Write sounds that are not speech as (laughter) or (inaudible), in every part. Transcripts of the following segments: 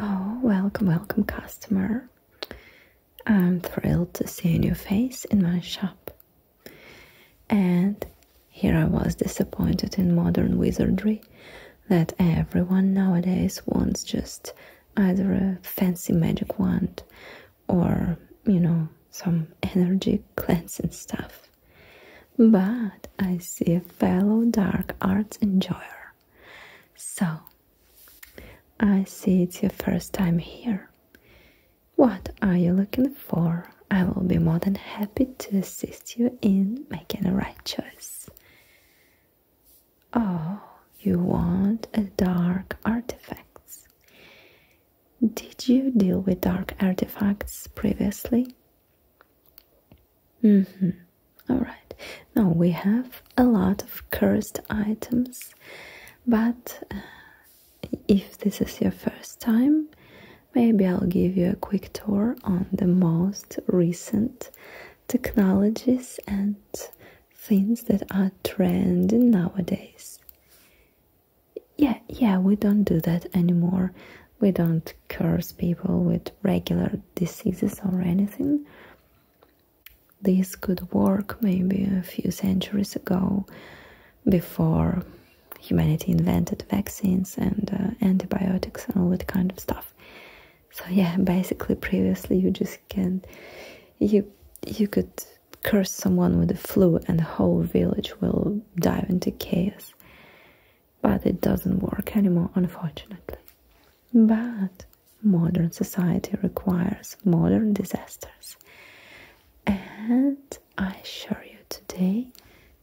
Oh, welcome, welcome, customer. I'm thrilled to see a new face in my shop. And here I was disappointed in modern wizardry that everyone nowadays wants just either a fancy magic wand or, you know, some energy cleansing stuff. But I see a fellow dark arts enjoyer. So, I see it's your first time here. What are you looking for? I will be more than happy to assist assist you in making the right choice. Oh, you want a dark artifacts. Did you deal with dark artifacts previously? Mm-hmm. Alright. Now we have a lot of cursed items, but uh, if this is your first time, maybe I'll give you a quick tour on the most recent technologies and things that are trending nowadays. Yeah, yeah, we don't do that anymore. We don't curse people with regular diseases or anything. This could work maybe a few centuries ago before humanity invented vaccines and uh, antibiotics and all that kind of stuff. So yeah, basically previously you just can you you could curse someone with the flu and the whole village will dive into chaos. But it doesn't work anymore, unfortunately. But modern society requires modern disasters. And I assure you today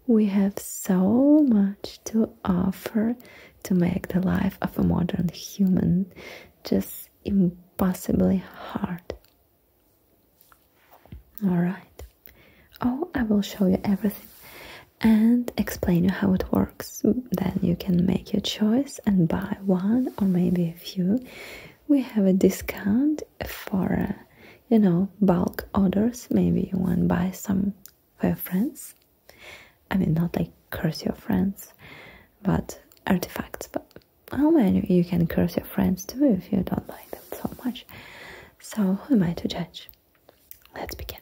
we have so much to offer to make the life of a modern human just impossibly hard. Alright. Oh, I will show you everything and explain you how it works. Then you can make your choice and buy one or maybe a few. We have a discount for, you know, bulk orders. Maybe you want to buy some for your friends. I mean, not like curse your friends, but artifacts. But how many you can curse your friends too if you don't like them so much. So who am I to judge? Let's begin.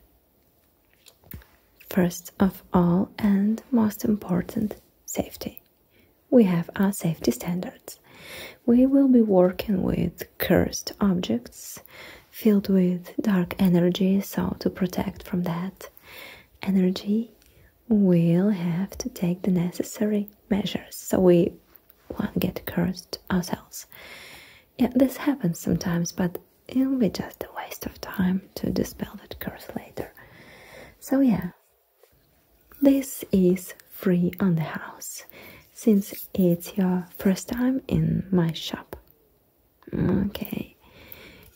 First of all, and most important, safety. We have our safety standards. We will be working with cursed objects, filled with dark energy, so to protect from that energy, we'll have to take the necessary measures so we won't get cursed ourselves. Yeah, this happens sometimes, but it'll be just a waste of time to dispel that curse later. So, yeah, this is free on the house since it's your first time in my shop. Okay.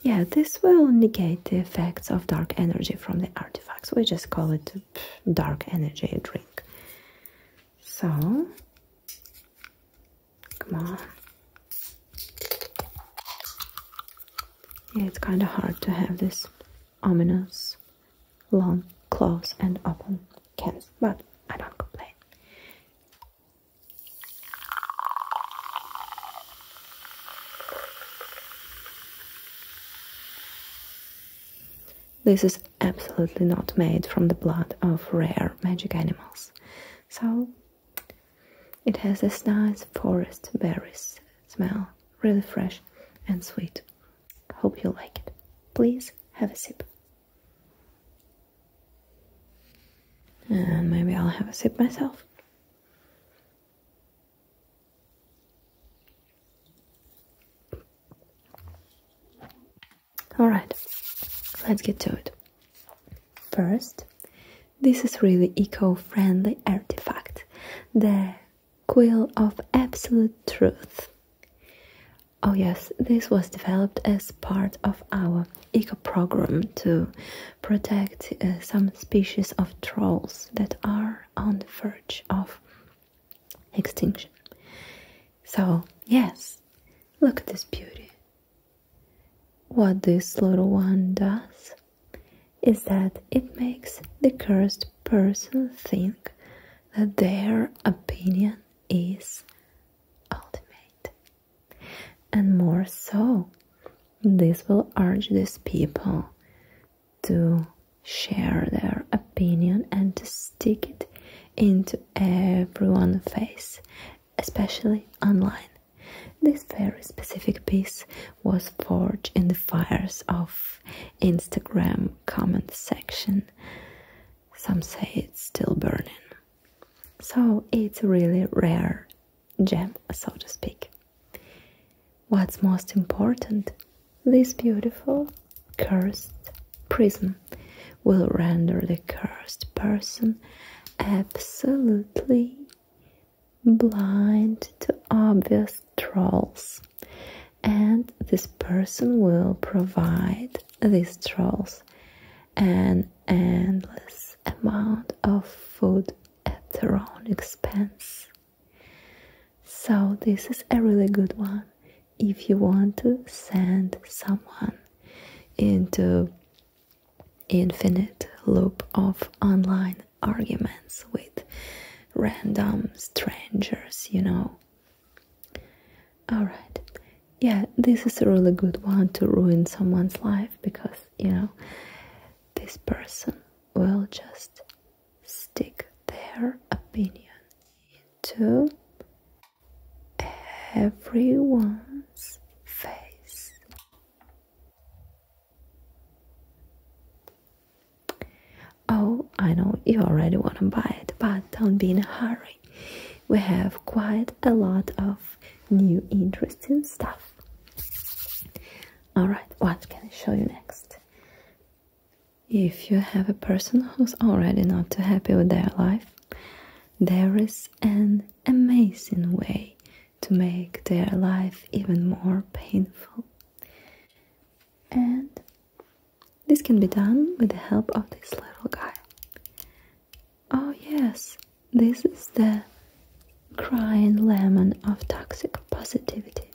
Yeah, this will negate the effects of dark energy from the artifacts. We just call it dark energy drink. So, come on. Yeah, it's kind of hard to have this ominous long closed, and open cans, but I don't complain. This is absolutely not made from the blood of rare magic animals. So it has this nice forest berries smell, really fresh and sweet. Hope you like it. Please have a sip. And maybe I'll have a sip myself. Alright, let's get to it. First, this is really eco-friendly artifact, the Quill of Absolute Truth. Oh, yes, this was developed as part of our eco program to protect uh, some species of trolls that are on the verge of extinction. So, yes, look at this beauty. What this little one does is that it makes the cursed person think that their opinion is ultimate. And more so, this will urge these people to share their opinion and to stick it into everyone's face, especially online. This very specific piece was forged in the fires of Instagram comment section. Some say it's still burning. So it's a really rare gem, so to speak. What's most important? This beautiful cursed prism will render the cursed person absolutely blind to obvious trolls, and this person will provide these trolls an endless amount of food at their own expense. So, this is a really good one if you want to send someone into infinite loop of online arguments with random strangers, you know. Alright, yeah, this is a really good one to ruin someone's life because you know this person will just stick their opinion into everyone's face. Oh, I know you already want to buy it, but don't be in a hurry we have quite a lot of new interesting stuff. Alright, what can I show you next? If you have a person who's already not too happy with their life, there is an amazing way to make their life even more painful. And this can be done with the help of this little guy. Oh yes, this is the crying lemon of toxic positivity.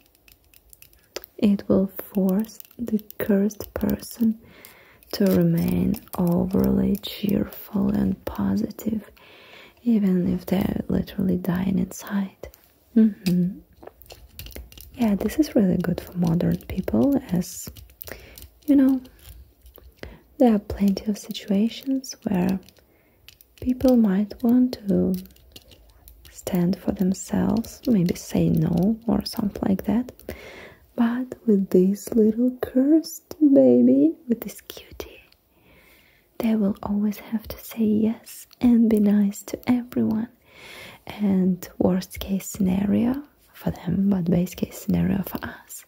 It will force the cursed person to remain overly cheerful and positive, even if they're literally dying inside. Mm-hmm. Yeah, this is really good for modern people as you know, there are plenty of situations where people might want to stand for themselves, maybe say no or something like that. But with this little cursed baby, with this cutie, they will always have to say yes and be nice to everyone. And worst case scenario, for them, but base case scenario for us.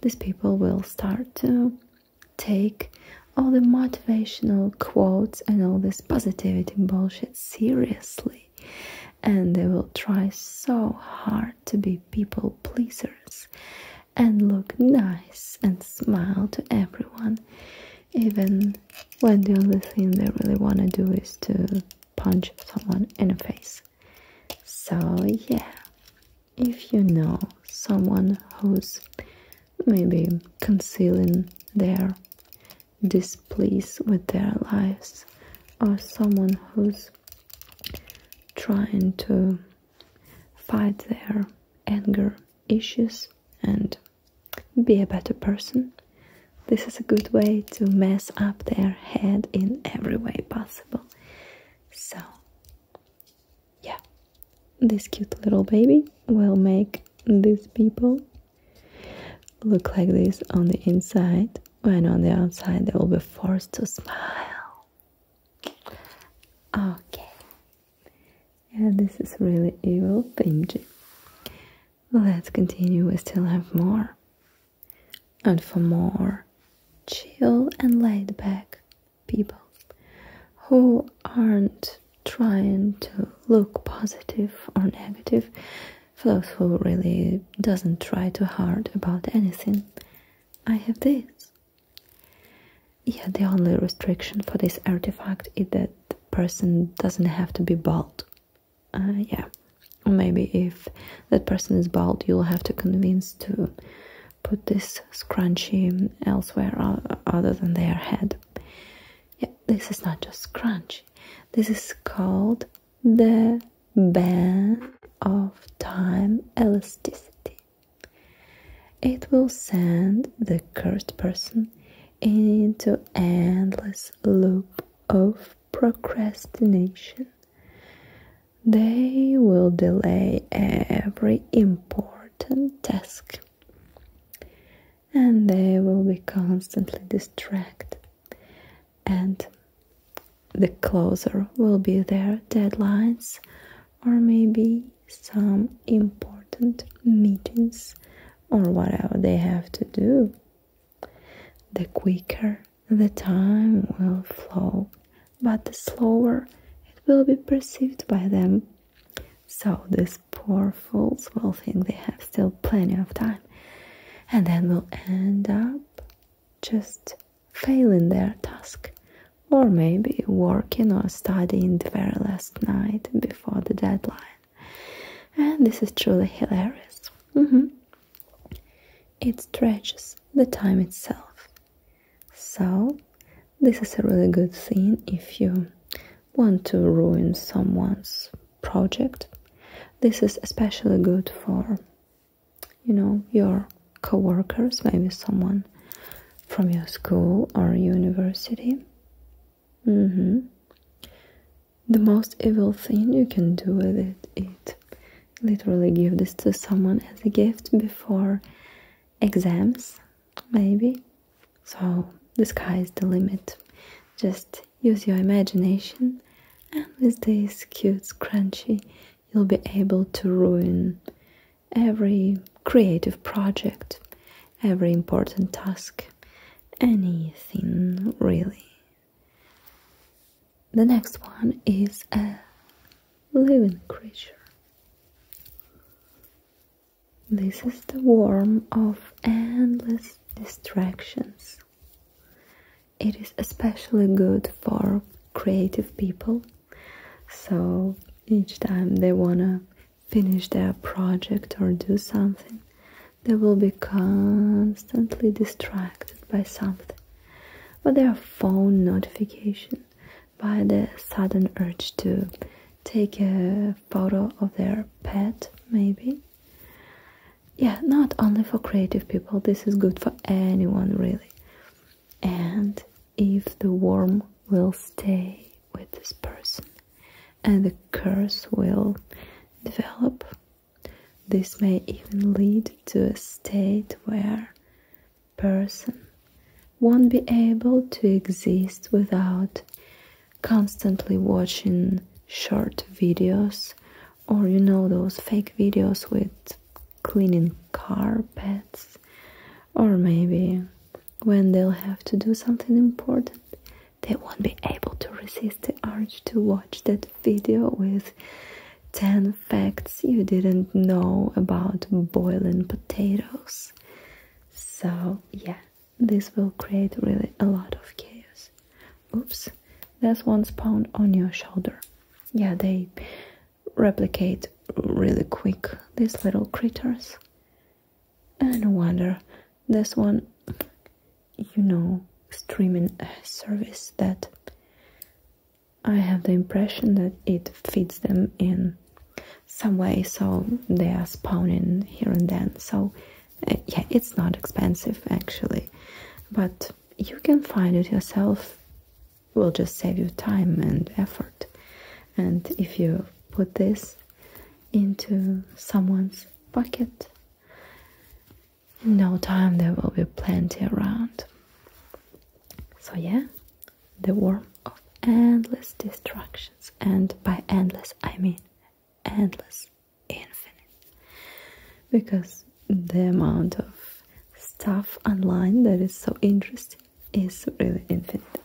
These people will start to take all the motivational quotes and all this positivity bullshit seriously, and they will try so hard to be people pleasers and look nice and smile to everyone, even when the only thing they really want to do is to punch someone in the face. So, yeah, if you know someone who's maybe concealing their displeased with their lives, or someone who's trying to fight their anger issues and be a better person, this is a good way to mess up their head in every way possible. So, yeah, this cute little baby will make these people look like this on the inside, and on the outside they will be forced to smile. Okay. Yeah, this is really evil, Benji. Let's continue, we still have more and for more chill and laid back people who aren't trying to look positive or negative for those who really doesn't try too hard about anything i have this yeah the only restriction for this artifact is that the person doesn't have to be bald uh, yeah maybe if that person is bald you'll have to convince to put this scrunchie elsewhere other than their head yeah this is not just scrunch this is called the band of time elasticity it will send the cursed person into endless loop of procrastination they will delay every important task and they will be constantly distracted, and the closer will be their deadlines or maybe some important meetings or whatever they have to do. The quicker the time will flow, but the slower it will be perceived by them. So these poor fools will think they have still plenty of time and then will end up just failing their task or maybe working or studying the very last night before the deadline. And this is truly hilarious. Mm-hmm. It stretches the time itself. So, this is a really good thing if you want to ruin someone's project. This is especially good for, you know, your coworkers, maybe someone from your school or university. Mm-hmm the most evil thing you can do with it it literally give this to someone as a gift before exams maybe so the sky is the limit just use your imagination and with this cute crunchy, you'll be able to ruin every creative project every important task anything really the next one is a living creature. This is the worm of endless distractions. It is especially good for creative people. So each time they wanna finish their project or do something, they will be constantly distracted by something, by their phone notification, by the sudden urge to take a photo of their pet, maybe. Yeah, not only for creative people, this is good for anyone, really. And if the worm will stay with this person and the curse will develop this may even lead to a state where person won't be able to exist without constantly watching short videos or you know those fake videos with cleaning carpets or maybe when they'll have to do something important they won't be able to resist the urge to watch that video with 10 facts you didn't know about boiling potatoes. So, yeah, this will create really a lot of chaos. Oops, that's one spawn on your shoulder. Yeah, they replicate really quick, these little critters. And no wonder this one you know, streaming service that I have the impression that it feeds them in some way, so they are spawning here and then. So, uh, yeah, it's not expensive actually, but you can find it yourself. It will just save you time and effort. And if you put this into someone's pocket, in no time, there will be plenty around. So, yeah, the world of endless distractions, and by endless, I mean endless, infinite, because the amount of stuff online that is so interesting is really infinite,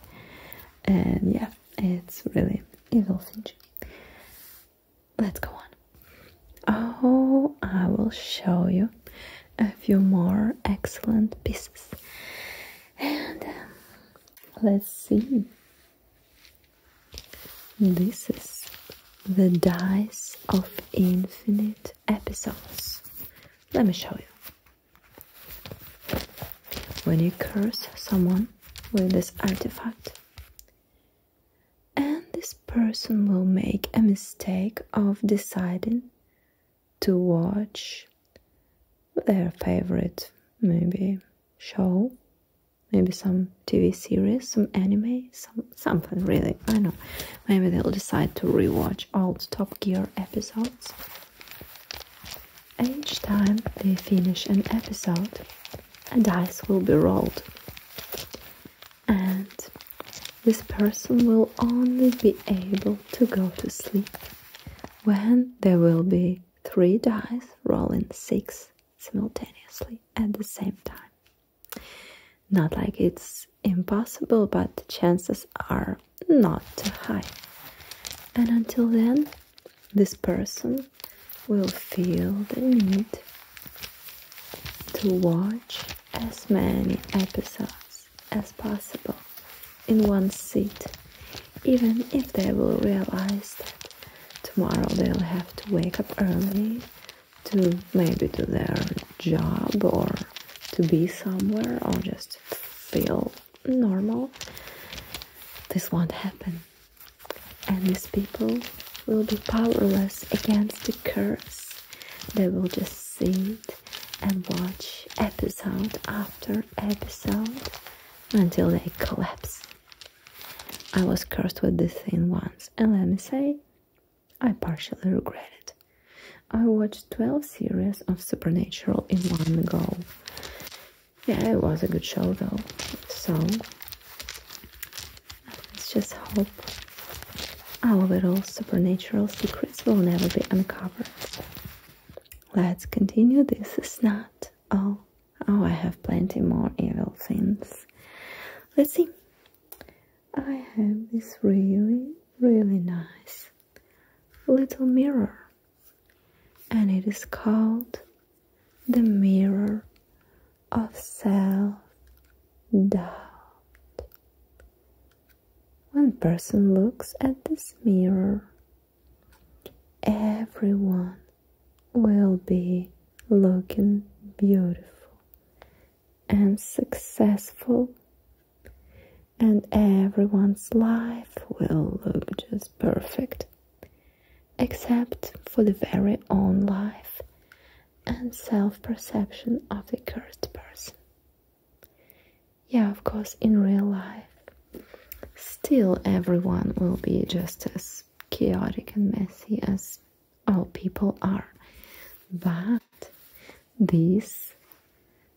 and yeah, it's really evil thing let's go on. Oh, I will show you a few more excellent pieces. And um, let's see. This is the dice of infinite episodes. Let me show you. When you curse someone with this artifact, and this person will make a mistake of deciding to watch their favorite maybe show maybe some tv series some anime some something really i know maybe they'll decide to rewatch old top gear episodes each time they finish an episode a dice will be rolled and this person will only be able to go to sleep when there will be three dice rolling six simultaneously at the same time. Not like it's impossible, but chances are not too high. And until then, this person will feel the need to watch as many episodes as possible in one seat, even if they will realize that tomorrow they'll have to wake up early to maybe do their job or to be somewhere or just feel normal. This won't happen and these people will be powerless against the curse. They will just sit and watch episode after episode until they collapse. I was cursed with this thing once, and let me say, I partially regret it. I watched 12 series of Supernatural in one go. Yeah, it was a good show though. So, Let's just hope our little supernatural secrets will never be uncovered. Let's continue. This is not all. Oh, I have plenty more evil things. Let's see. I have this really, really nice little mirror. And it is called the Mirror of self doubt. One person looks at this mirror. Everyone will be looking beautiful and successful, and everyone's life will look just perfect, except for the very own life and self perception of the cursed person. Yeah, of course, in real life, still everyone will be just as chaotic and messy as all people are, but this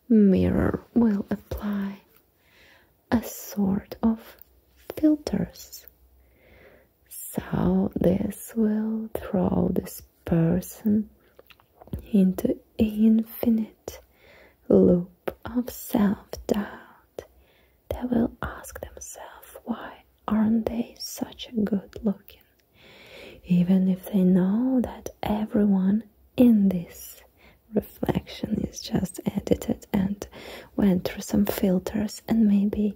mirror will apply a sort of filters so this will throw this person into infinite loop of self-doubt. They will ask themselves why aren't they such a good looking? Even if they know that everyone in this reflection is just edited and went through some filters and maybe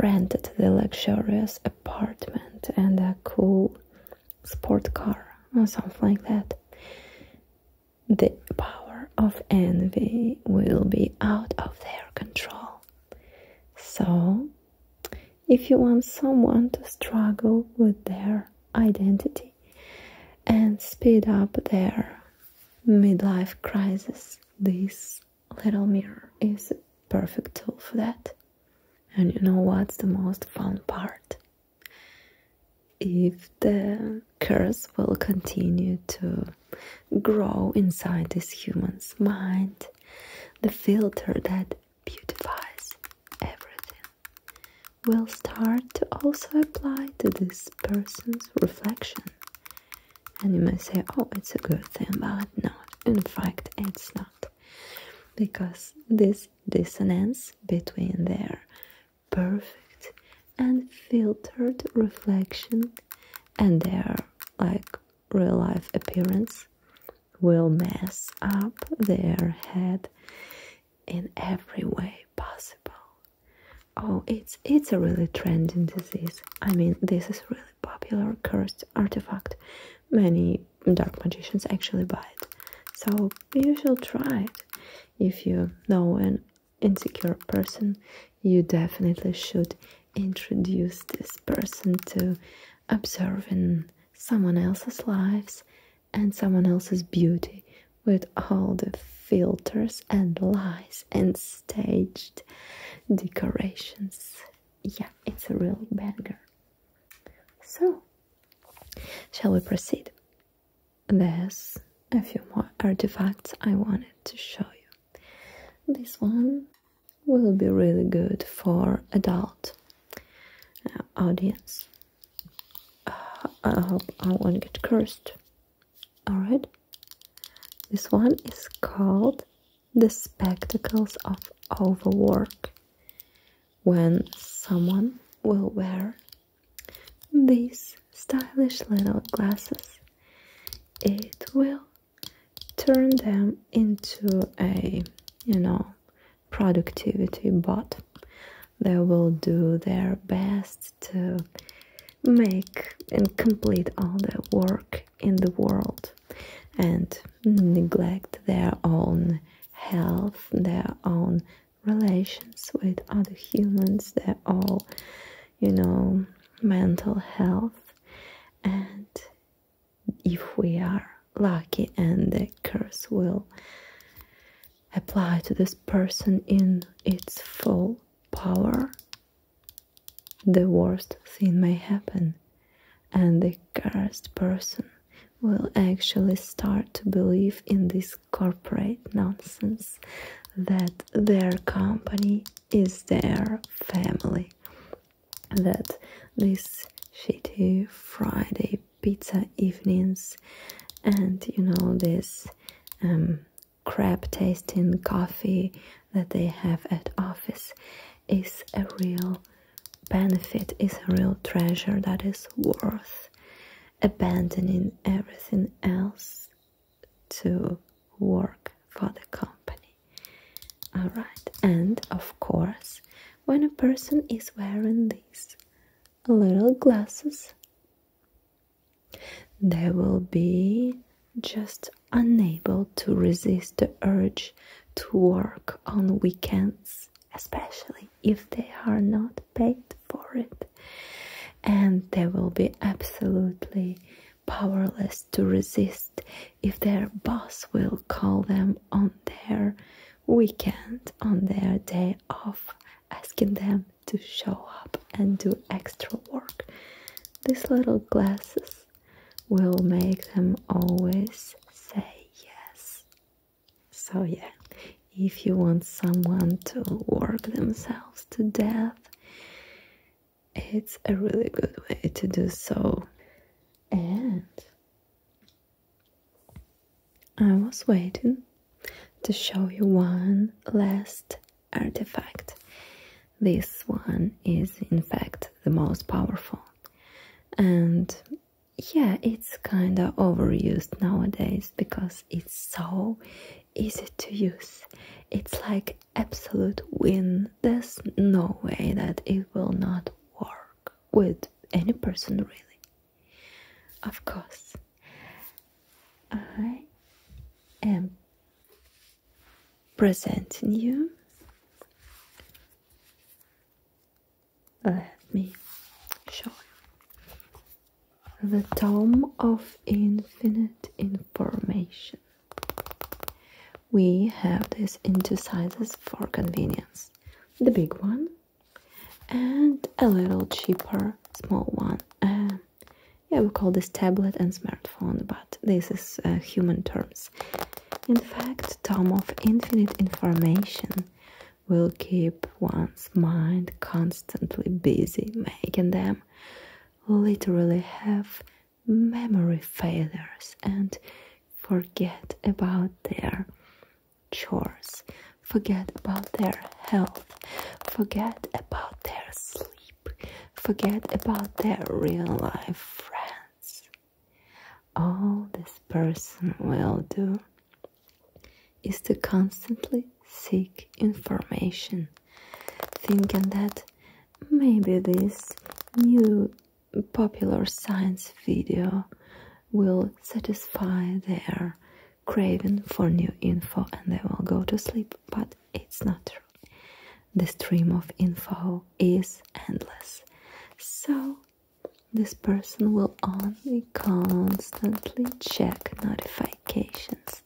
rented the luxurious apartment and a cool sport car or something like that. The power of envy will be out of their control. So, if you want someone to struggle with their identity and speed up their midlife crisis, this little mirror is a perfect tool for that. And you know what's the most fun part? If the curse will continue to grow inside this human's mind, the filter that beautifies everything will start to also apply to this person's reflection. And you may say, oh, it's a good thing, but no, in fact, it's not. Because this dissonance between their perfect and filtered reflection and their like real life appearance will mess up their head in every way possible. Oh, it's it's a really trending disease. I mean, this is really popular cursed artifact. Many dark magicians actually buy it. So you should try it. If you know an insecure person, you definitely should introduce this person to observing someone else's lives and someone else's beauty with all the filters and lies and staged decorations. Yeah, it's a real banger. So, shall we proceed? There's a few more artifacts I wanted to show you. This one will be really good for adult uh, audience. Uh, I hope I won't get cursed. Alright. This one is called the spectacles of overwork when someone will wear these stylish little glasses it will turn them into a you know productivity bot they will do their best to make and complete all the work in the world and neglect their own health, their own relations with other humans, their all, you know, mental health. And if we are lucky and the curse will apply to this person in its full power, the worst thing may happen, and the cursed person will actually start to believe in this corporate nonsense that their company is their family, that these shitty Friday pizza evenings and you know this um, crap tasting coffee that they have at office is a real benefit, is a real treasure that is worth abandoning everything else to work for the company. Alright, and of course, when a person is wearing these little glasses, there will be just unable to resist the urge to work on weekends, especially if they are not paid for it. And they will be absolutely powerless to resist if their boss will call them on their weekend, on their day off, asking them to show up and do extra work. These little glasses will make them always say yes. So, yeah, if you want someone to work themselves to death, it's a really good way to do so. And I was waiting to show you one last artifact. This one is, in fact, the most powerful. And yeah, it's kind of overused nowadays because it's so easy to use. It's like absolute win. There's no way that it will not work with any person, really. Of course, I am presenting you. Let me show you. The Tome of Infinite Information. We have this in two sizes for convenience. The big one and a little cheaper small one yeah, we call this tablet and smartphone, but this is uh, human terms. In fact, tom of infinite information will keep one's mind constantly busy, making them literally have memory failures and forget about their chores, forget about their health, forget about their sleep forget about their real life friends. All this person will do is to constantly seek information, thinking that maybe this new popular science video will satisfy their craving for new info and they will go to sleep, but it's not true the stream of info is endless. So, this person will only constantly check notifications.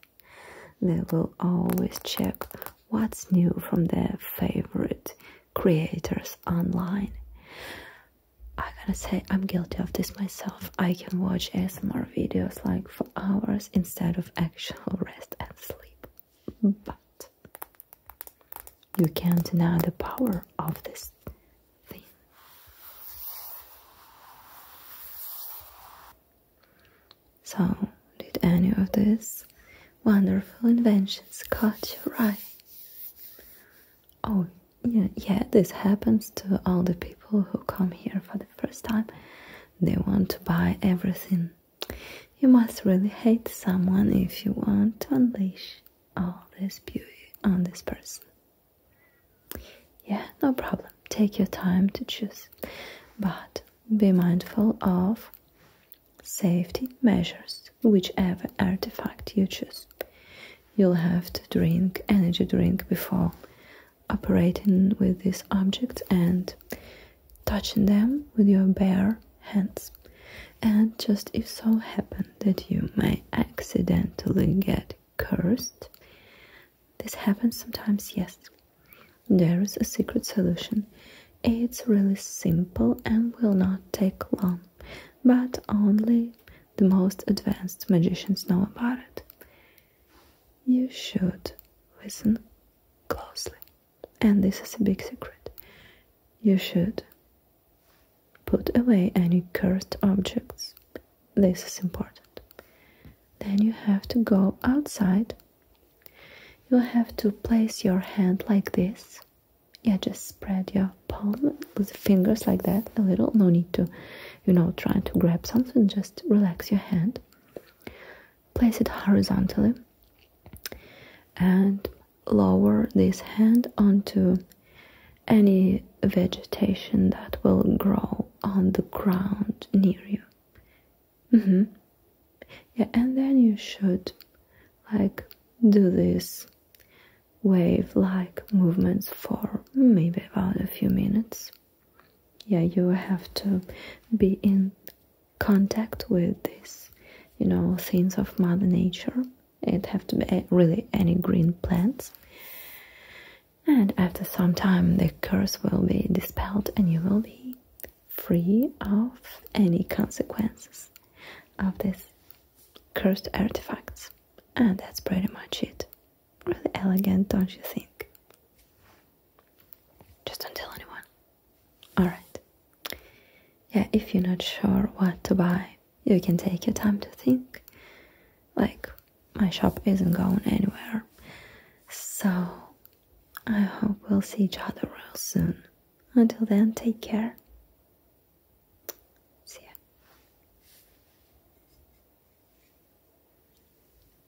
They will always check what's new from their favorite creators online. I gotta say, I'm guilty of this myself. I can watch ASMR videos like for hours instead of actual (laughs) rest and sleep but you can't deny the power of this thing. So, did any of these wonderful inventions cut your eye? Oh, yeah, yeah, this happens to all the people who come here for the first time. They want to buy everything you must really hate someone if you want to unleash all this beauty on this person. Yeah, no problem. Take your time to choose, but be mindful of safety measures, whichever artifact you choose. You'll have to drink energy drink before operating with this object and touching them with your bare hands. And just if so happen that you may accidentally get cursed, this happens sometimes, yes. There is a secret solution. It's really simple and will not take long, but only the most advanced magicians know about it. You should listen closely and this is a big secret, you should put away any cursed objects. This is important. Then you have to go outside. You have to place your hand like this. Yeah, just spread your palm with fingers like that a little. No need to, you know, trying to grab something. Just relax your hand place it horizontally and lower this hand onto any vegetation that will grow on the ground near you. Mm-hmm. Yeah, and then you should like do this wave like movements for maybe about a few minutes. Yeah, you have to be in contact with these, you know, things of Mother Nature. It have to be really any green plants. And after some time, the curse will be dispelled, and you will be free of any consequences of these cursed artifacts. And that's pretty much it. Really elegant, don't you think? Just don't tell anyone. Alright. Yeah, if you're not sure what to buy, you can take your time to think. Like, my shop isn't going anywhere. So, I hope we'll see each other real soon. Until then, take care. See ya.